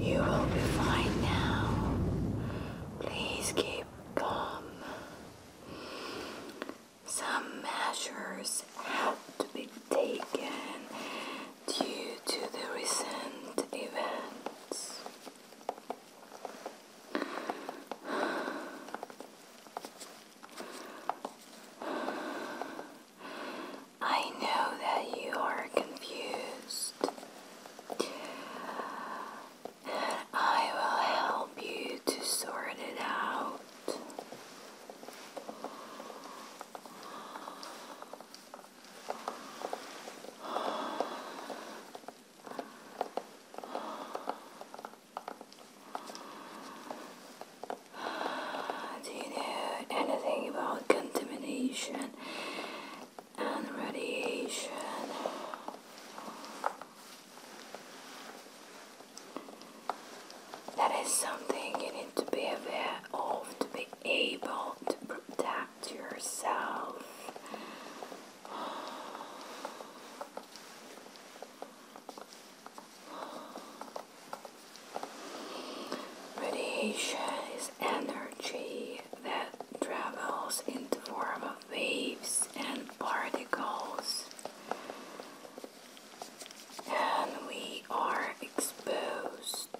You will be fine now. Please keep calm. Some measures have to be taken due to the recent events. I know that you are confused. And I will help you to sort it out. Do you know anything about contamination and radiation? That is something you need to be aware of to be able to protect yourself. Radiation is energy that travels in the form of waves and particles, and we are exposed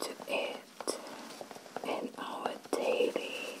to it in our daily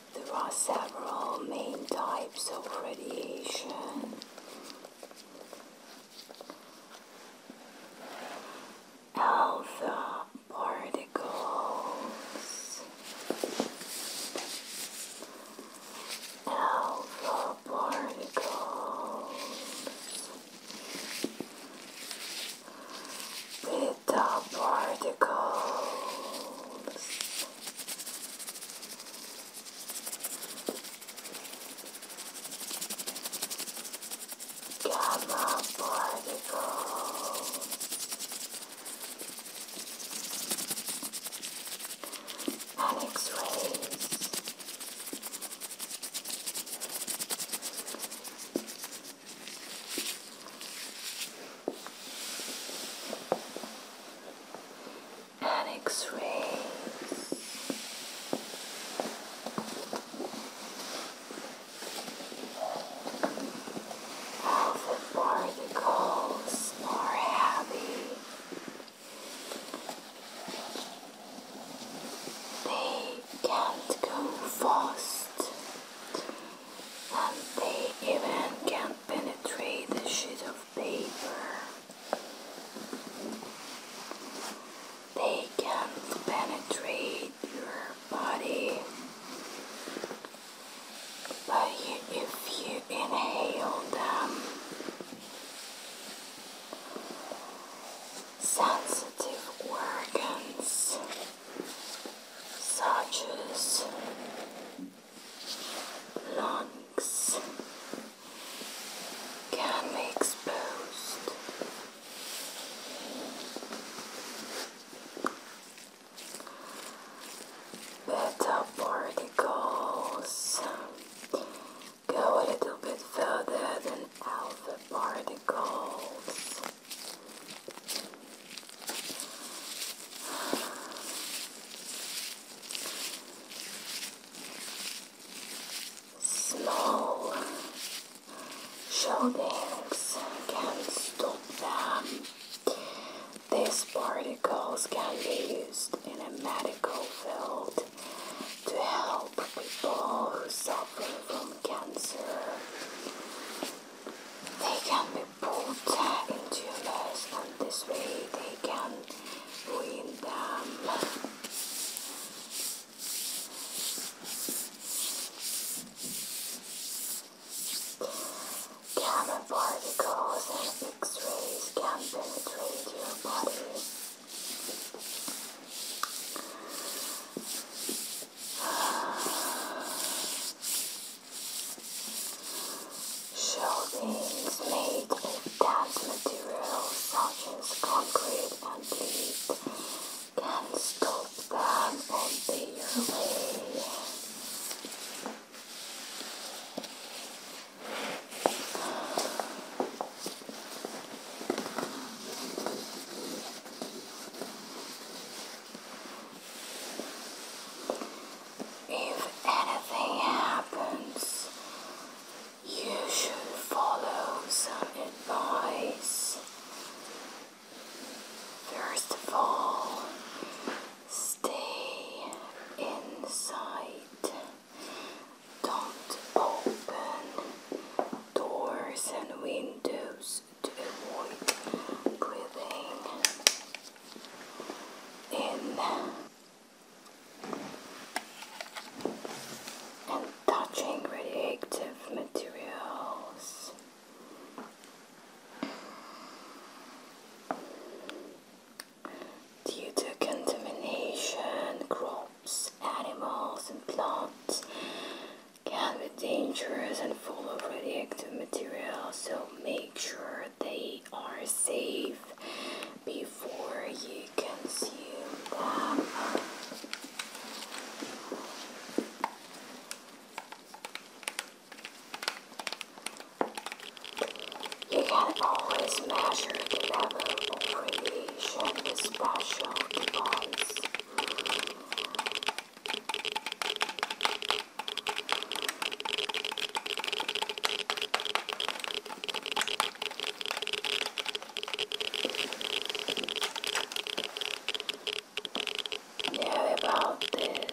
There are several main types of radiation. Alpha particles. Alpha particles. Beta particles. Gamma particle. And x and X-rays all the particles heavy they can't go fast they even can penetrate the sheet of paper. They can penetrate your body. But if you inhale them, sensitive organs such as lungs can exposed. Beta particles go a little bit further than alpha particles. Small buildings can stop them. These particles can be used in a medical field to help people who suffer from cancer. They can be put into your and this way they can ruin them. Gamma particles and X-rays can penetrate your body. Shell beams made of dense materials such as concrete and lead can stop them on their way. If anything happens, you should follow some advice. First of all, stay inside. Don't open doors and windows to avoid breathing in and touching radioactive materials. Due to contamination, crops, animals, and plants can be dangerous and full of radioactive material, so make sure they are safe before you consume them. You can always measure the level of radiation with special device. Now about this.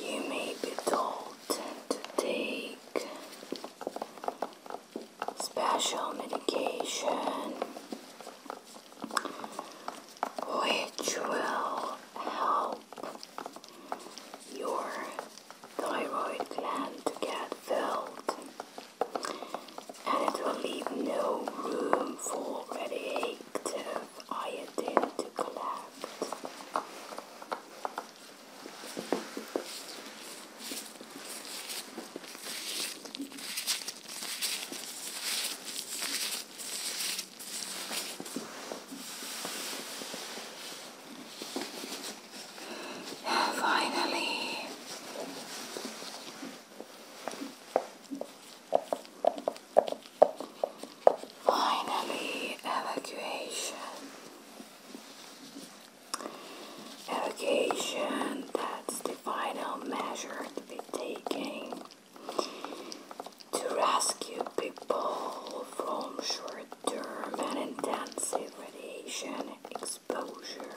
You may be told to take special medication which will help your thyroid gland to get filled and it will leave no room for headaches addictive iodine to collapse. Finally, Finally, evacuation. Evacuation, that's the final measure to be taken to rescue people from short term and intensive radiation exposure.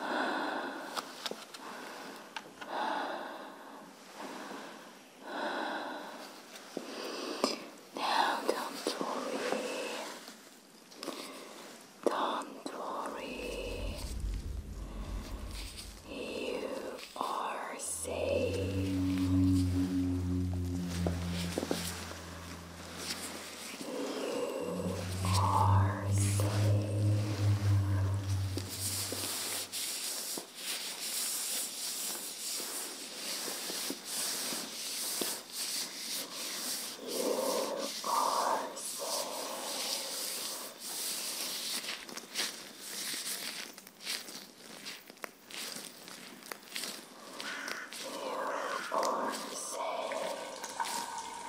Now, don't worry. Don't worry. You are safe are safe. You are safe. You are safe.